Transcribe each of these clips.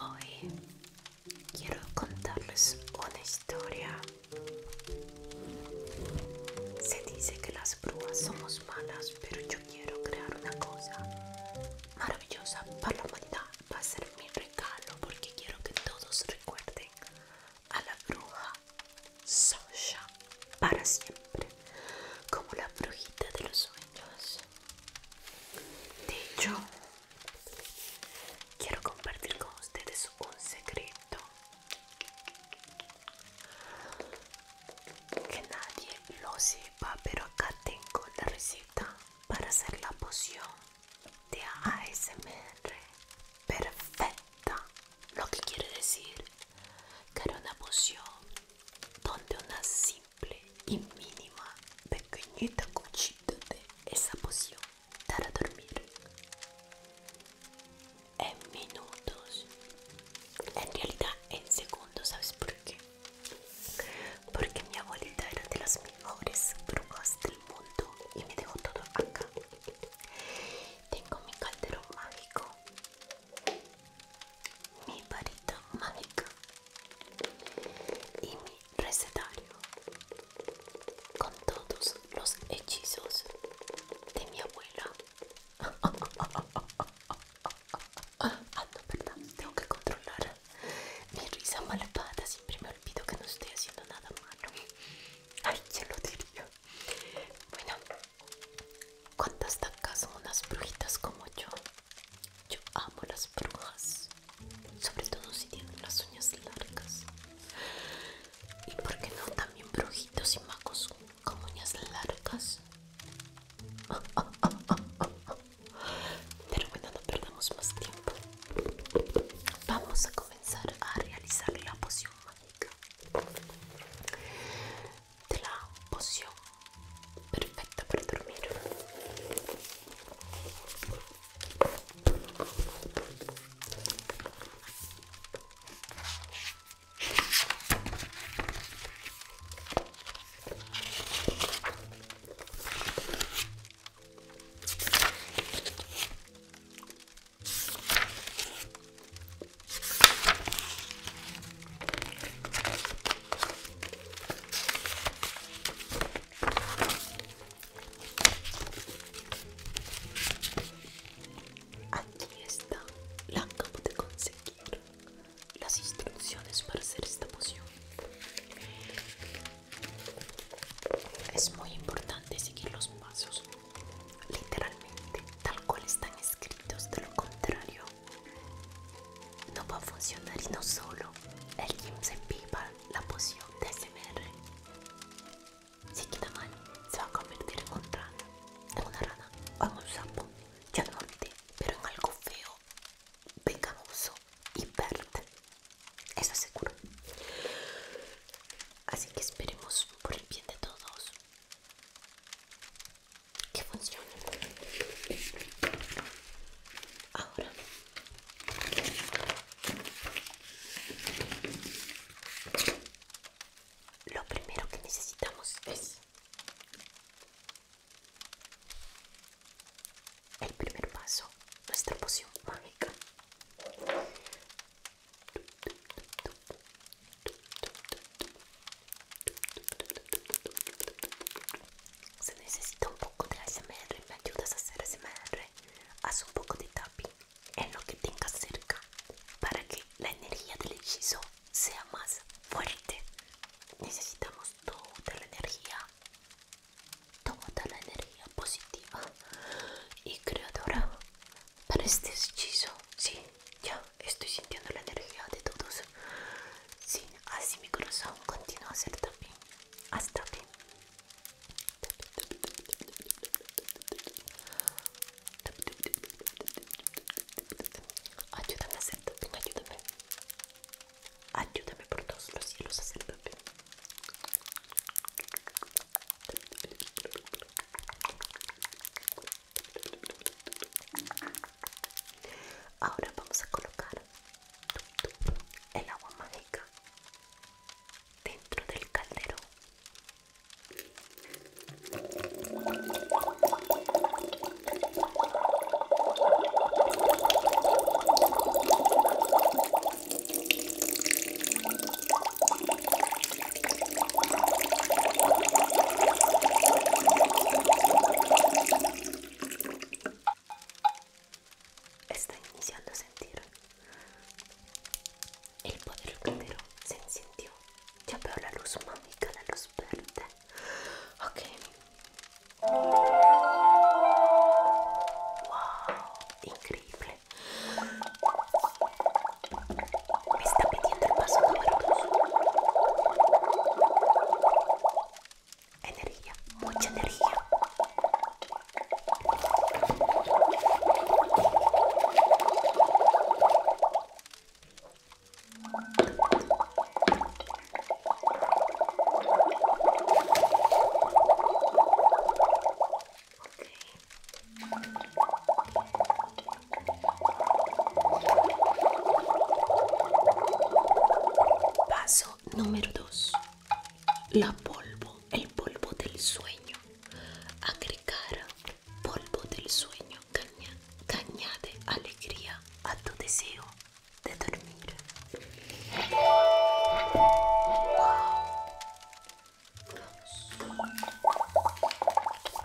Hoy quiero contarles una historia. Se dice que las brujas somos malas, pero yo quiero crear una cosa maravillosa para la humanidad. Va a ser mi regalo porque quiero que todos recuerden a la bruja Sosha para siempre como la brujita de los sueños. De hecho, quiero compartir con ustedes un secreto que nadie lo sepa, pero acá tengo la receta para hacer la poción de ASMR perfecta lo que quiere decir que era una poción donde una simple y mínima pequeñita cuchita de esa poción para dormir. En minutos, en realidad en segundos, ¿sabes por qué? Porque mi abuelita era de las mejores brujas del mundo y me dejó todo acá. Tengo mi calderón mágico mi varita mágica y mi recetario con todos los hechizos de mi abuela. Ah, no, perdón tengo que controlar mi risa malvada. Siempre me olvido que no estoy haciendo nada malo. Ay, se lo diría. Bueno, ¿Cuántas tacas son unas brujitas como yo? Yo amo las brujas, sobre todo si tienen las uñas largas. ¿Y por qué no también brujitos y magos con uñas largas? Pero bueno, no perdamos más tiempo. Vamos a comenzar a realizar la poción mágica de la poción perfecta para dormir. Aquí está, la acabo de conseguir. Las instrucciones para hacer esta poción. Es muy importante seguir los pasos literalmente tal cual están escritos de lo contrario no va a funcionar y no solo el gym se pipa la poción de SMR si queda mal se va a convertir en un rana en una rana o en un sapo ya no pero en algo feo pegamoso y verde eso seguro así que esperemos por el bien de todos que funciona ahora lo primero que necesitamos es el primer paso nuestra poción mágica se necesita un poco de ASMR, me ayudas a hacer ASMR, haz un poco de tapi en lo que tengas cerca para que la energía del hechizo sea más fuerte. Necesitamos toda la energía, toda la energía positiva y creadora para este hechizo. Sí, ya estoy sintiendo la energía de todos. Sí, así mi corazón continúa a ser también. Hasta bien. Ayúdame a hacer tapping, ayúdame. Ayúdame por todos los cielos a hacer tapping. Ahora vamos a colocar el agua mágica dentro del caldero. Está iniciando a sentir el poder entero se encendió. Ya veo la luz mágica, la luz verde. Ok. Wow, increíble. Me está pidiendo el paso número Energía, mucha energía. Paso número 2. La polvo, el polvo del sueño. Agregar polvo del sueño caña, añade, alegría a tu deseo de dormir.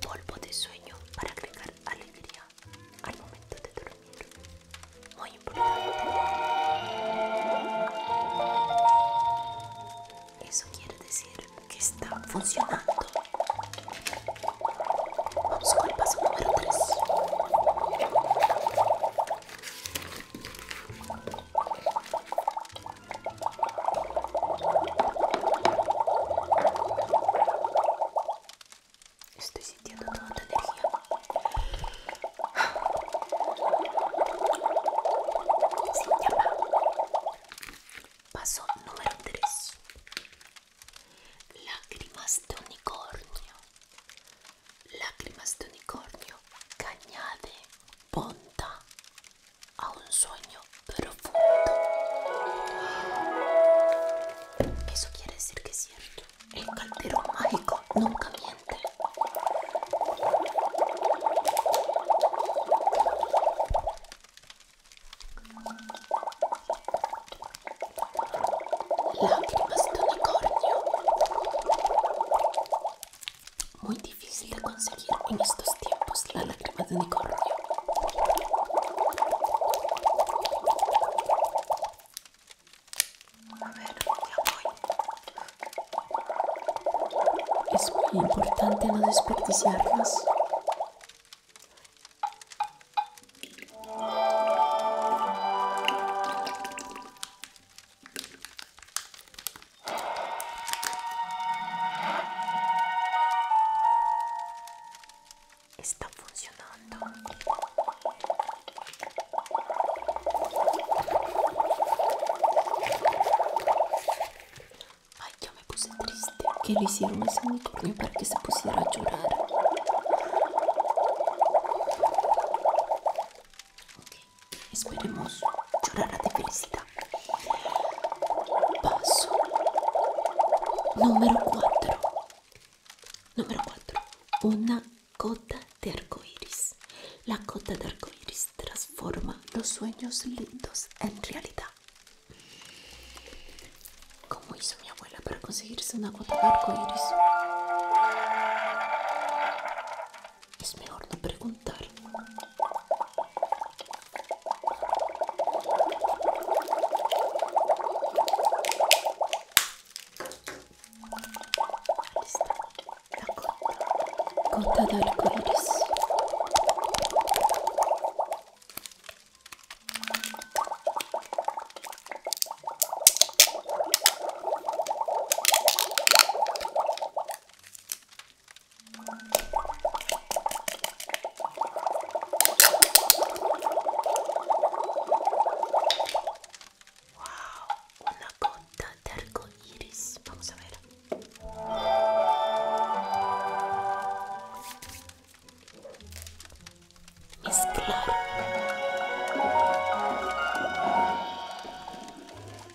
Polvo de sueño para agregar alegría al momento de dormir. Muy importante. Eso quiere decir que está funcionando. Vamos con el paso número 3. Estoy sintiendo toda tu energía. Sí, Paso número 3. Lágrimas de unicornio lágrimas de unicornio que añade ponta a un sueño profundo. Eso quiere decir que es cierto. El calderón mágico nunca miente. Lágrimas de unicornio muy difícil de conseguir en estos tiempos la lágrima de unicornio. A ver, Es muy importante no desperdiciarlas. Está funcionando. Ay, yo me puse triste. Que le hicieron ese unicornio para que se pusiera a llorar esperemos llorar de felicidad. Paso número 4. Número 4. Una cota de iris La cota de iris transforma los sueños lindos en realidad. ¿Cómo hizo mi abuela para conseguirse una gota de arcoíris? es mejor no preguntar. está La gota, gota de arcoíris. Wow, una gota de arcoiris Vamos a ver. Mezclar.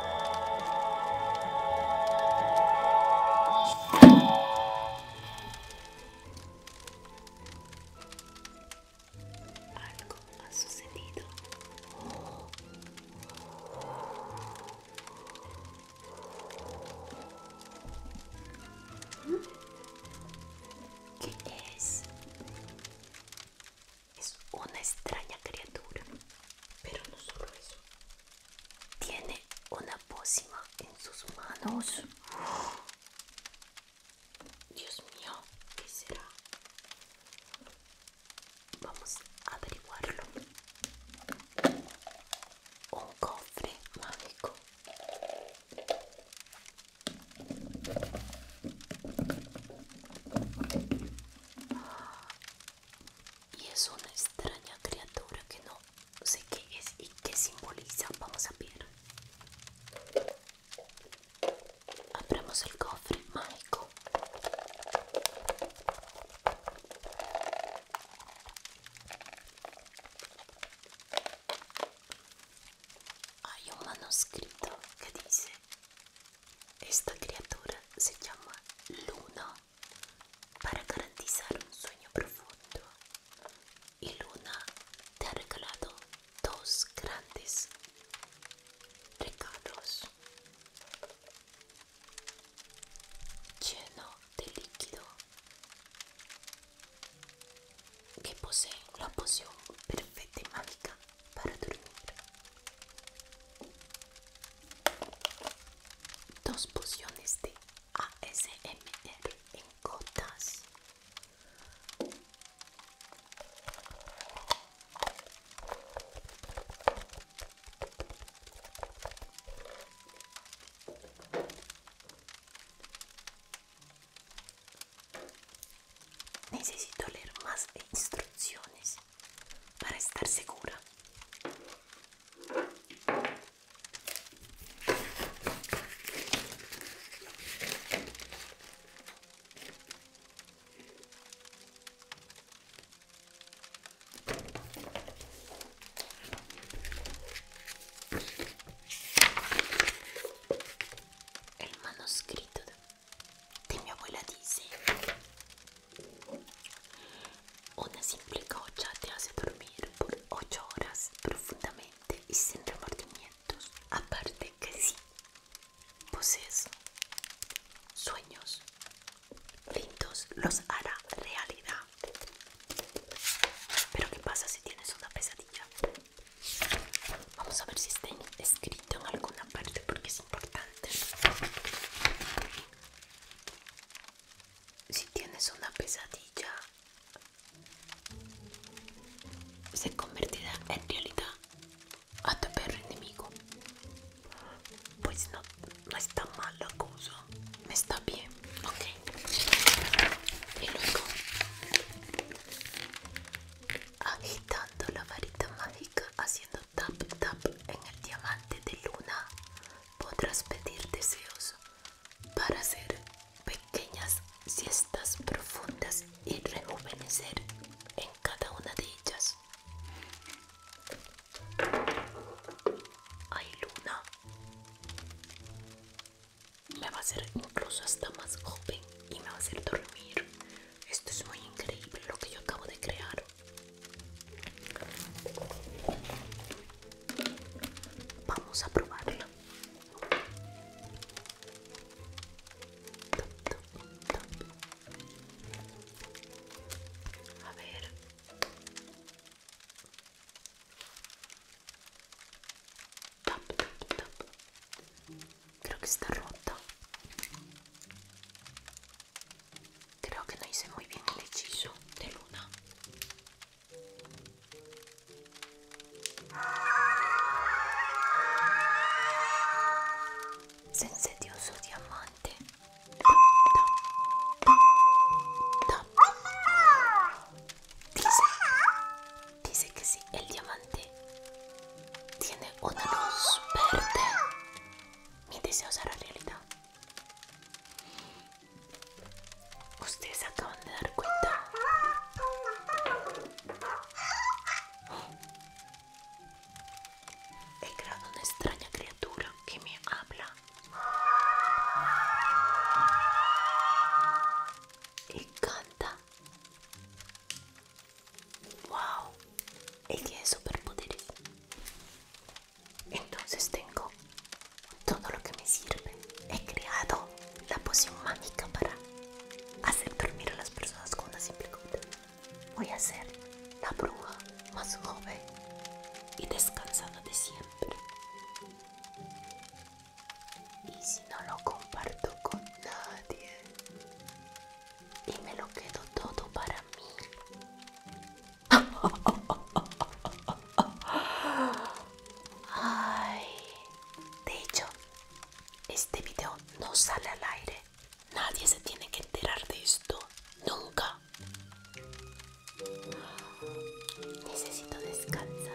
Algo ha sucedido. ¿Qué es? Es una extraña criatura. Pero no solo eso. Tiene una pócima en sus manos. Dios mío, que será? Vamos a averiguarlo. Un cofre mágico y es una extraña criatura que no sé qué es y qué simboliza. Vamos a ver. Abrimos el cofre mágico. Hay un manuscrito que dice, esta criatura se llama Luna para garantizar un sueño profundo. Y Luna te ha regalado dos grandes regalos lleno de líquido que poseen la poción perfecta y mágica para dormir. Dos pociones de ASMR en gotas. Necesito leer más instrucciones. per estar sicura. Il manoscritto di mio Abuela dice Una simple cocha te hace dormir por 8 horas profundamente y sin remordimientos. Aparte que sí, posees sueños lindos, los hará realidad. Pero ¿qué pasa si tienes una pesadilla? Vamos a ver si está escrito en alguna parte porque es importante si tienes una pesadilla, se convertirá en realidad a tu perro enemigo. Pues no, no está mal la cosa, me está bien, ok. Y luego, agitando la varita mágica, haciendo tap tap en el diamante de luna podrás pedir deseos para hacer pequeñas siestas profundas y rejuvenecer en cada una de ellas. Ay luna, me va a hacer incluso hasta más joven y me va a hacer dormir. Esto es muy increíble lo que yo acabo de crear. Vamos a probarlo. A ver. Creo que está roto. Creo que no hice muy bien el hechizo de luna. Se su diamante. Dice, que si sí, el diamante tiene una luz verde, mi deseo será realidad. Ustedes acaban de dar cuenta. He creado una extraña criatura que me habla. Y canta. ¡Wow! Ella es poderosa entonces tengo todo lo que me sirve. He creado la poción mágica para hacer dormir a las personas con una simple gota. Voy a hacer la bruja más joven y descansada de siempre. Y si no lo comparto con nadie y me lo quedo todo para mí, de hecho, este video no sale al aire. Nadie se tiene que enterar de esto. Nunca. Necesito descansar.